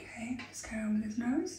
Okay, let's just go with his nose.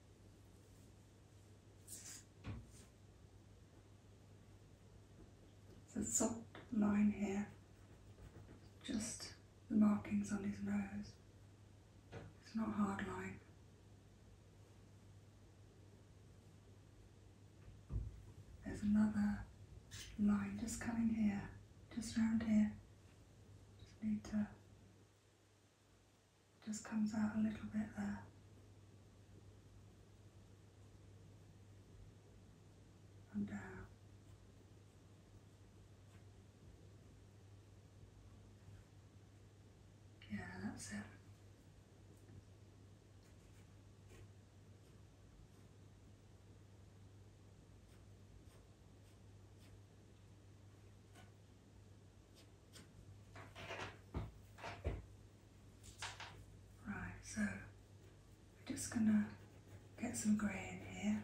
So soft line here, just the markings on his nose. It's not hard line. There's another line just coming here, just round here. Just need to just comes out a little bit there. And down. Yeah, that's it. Right, so I'm just gonna get some grey in here.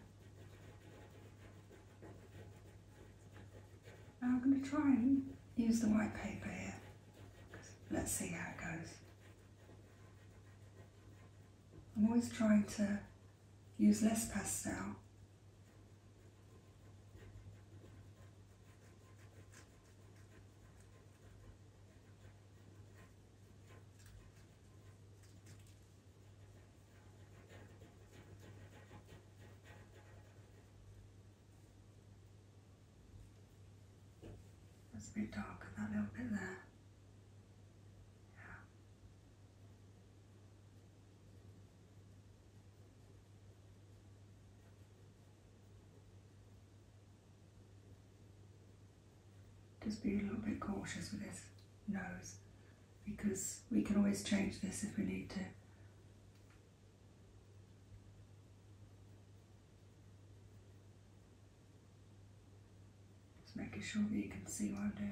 Now I'm gonna try and use the white paper here. Let's see how it goes. I'm always trying to use less pastel it's a bit dark in that little bit there. Yeah. Just be a little bit cautious with this nose because we can always change this if we need to. Just making sure that you can see what I'm doing.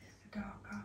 It's the darker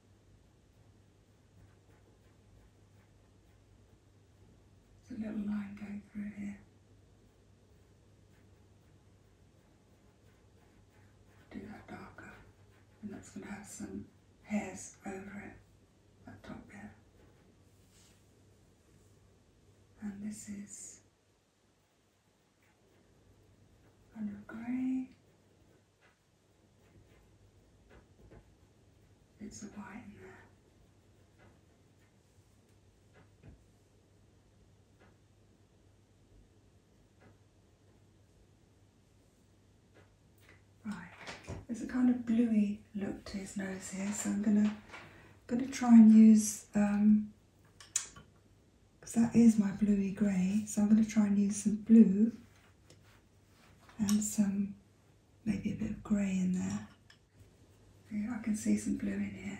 There's a little line going through here. Do that darker, and that's going to have some hairs over it, that top bit. And this is kind of grey. It's white in there. there's a kind of bluey look to his nose here, so I'm gonna gonna try and use because um, that is my bluey grey, so I'm gonna try and use some blue and some maybe a bit of grey in there. I can see some blue in here.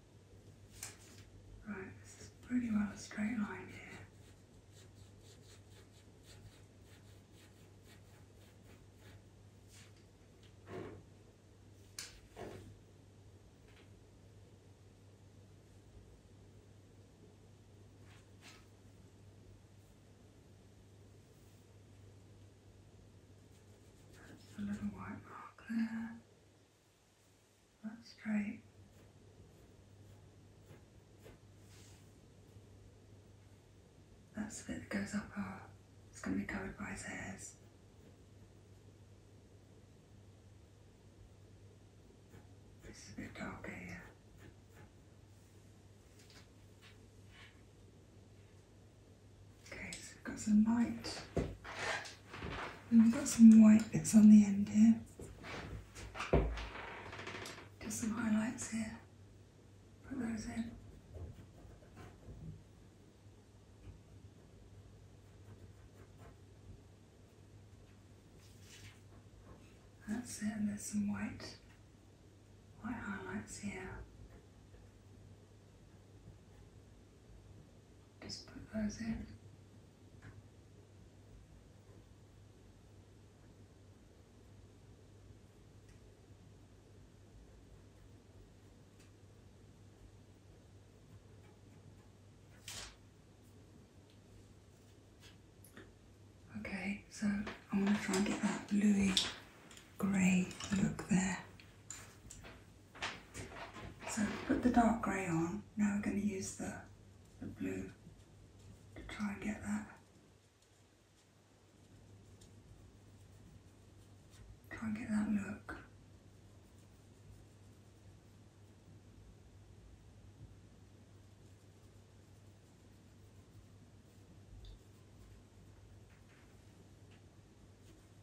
Right, this is pretty well a straight line here. a little white mark there. That's great. That's the bit that goes up our, it's going to be covered by his hairs. This is a bit darker here. Okay, so we've got some light. we've got some white that's on the end here. Just some highlights here. Put those in. That's it, and there's some white, white highlights here. Just put those in. Okay, so I am going to try and get that bluey grey look there. So put the dark grey on, now we're going to use the, blue to try and get that. Try and get that look.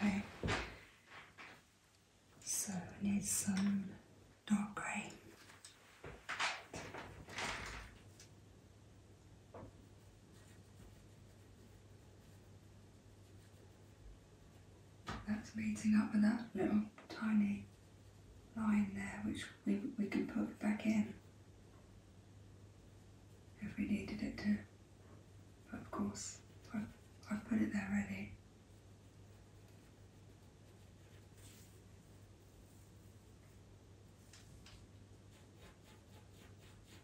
Okay, so I need some dark grey. That's meeting up with that little tiny line there, which we, we can put back in if we needed it to. But of course, I've, I've put it there already it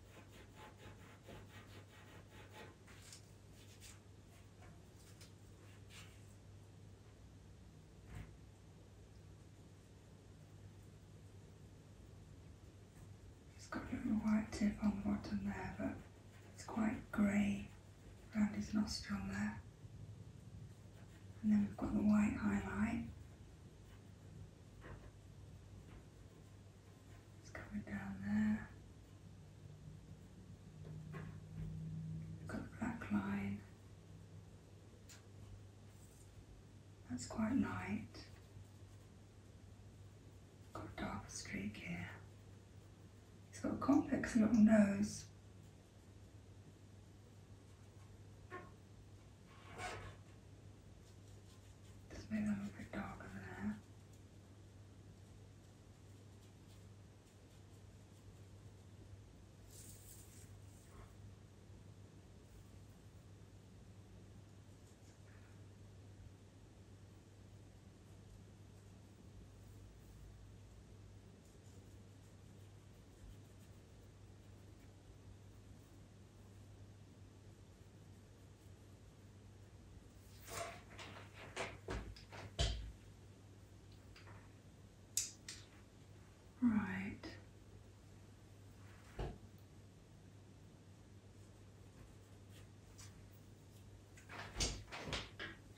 has got a little white tip on the bottom there, but it's quite grey around his nostril there. And then we've got the white highlight it's coming down there. we got the black line. That's quite light. Got a dark streak here. He's got a complex little nose. Just made it a little bit darker there. Right.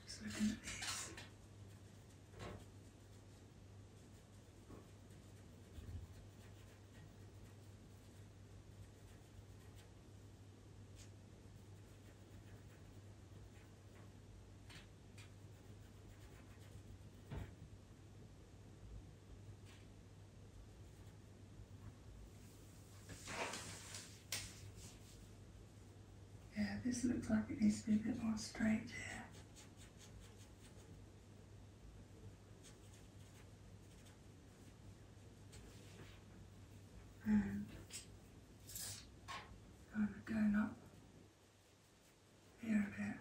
Just looking at yeah, this looks like it needs to be a bit more straight here. And um, I'm going up here and here.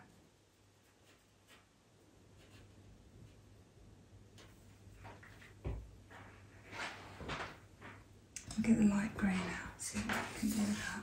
get the light grey out. see if I can do that.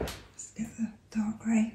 let's get the dark grey.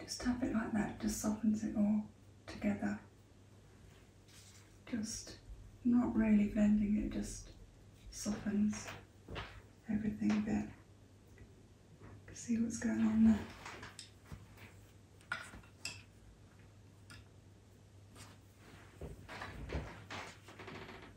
Just tap it like that, just softens it all together. Just not really blending it, just softens everything a bit. See what's going on there.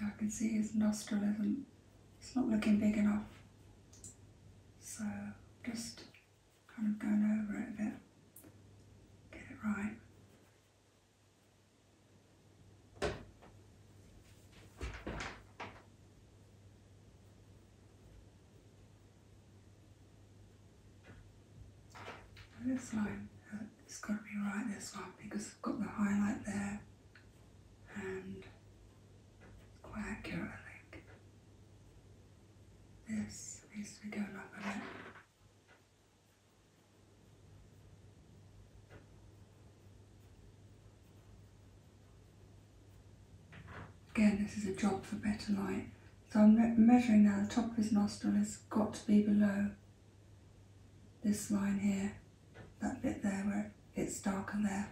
Yeah, I can see his nostril isn't, it's not looking big enough. So just kind of going over it a bit, get it right. This line it's got to be right this one because I've got the highlight there and quite accurate This needs to be up a bit. Again, this is a job for better light. So I'm measuring now, the top of his nostril has got to be below this line here, that bit there where it's darker there.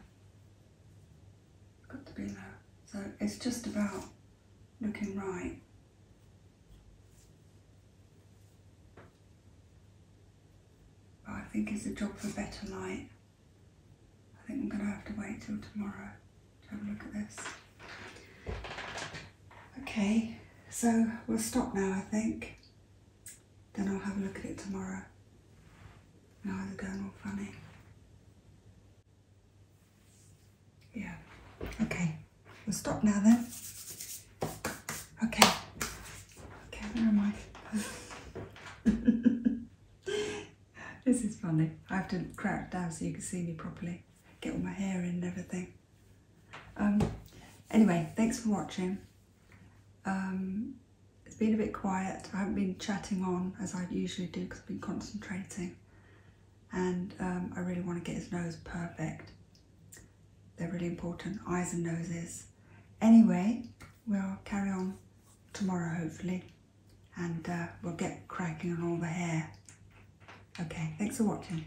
got to be there. So it's just about looking right. But I think it's a job for better light. I think I'm going to have to wait till tomorrow to have a look at this. Okay, so we'll stop now I think. Then I'll have a look at it tomorrow. And I'll either go all funny. Yeah. Okay. We'll stop now then. Okay. Okay, where am I? this is funny. I have to crouch down so you can see me properly. Get all my hair in and everything. Um, anyway, thanks for watching. Um, it's been a bit quiet. I haven't been chatting on as I usually do because I've been concentrating. And um, I really want to get his nose perfect. They're really important, eyes and noses. Anyway, we'll carry on tomorrow, hopefully. And uh, we'll get cracking on all the hair. Okay, thanks for watching.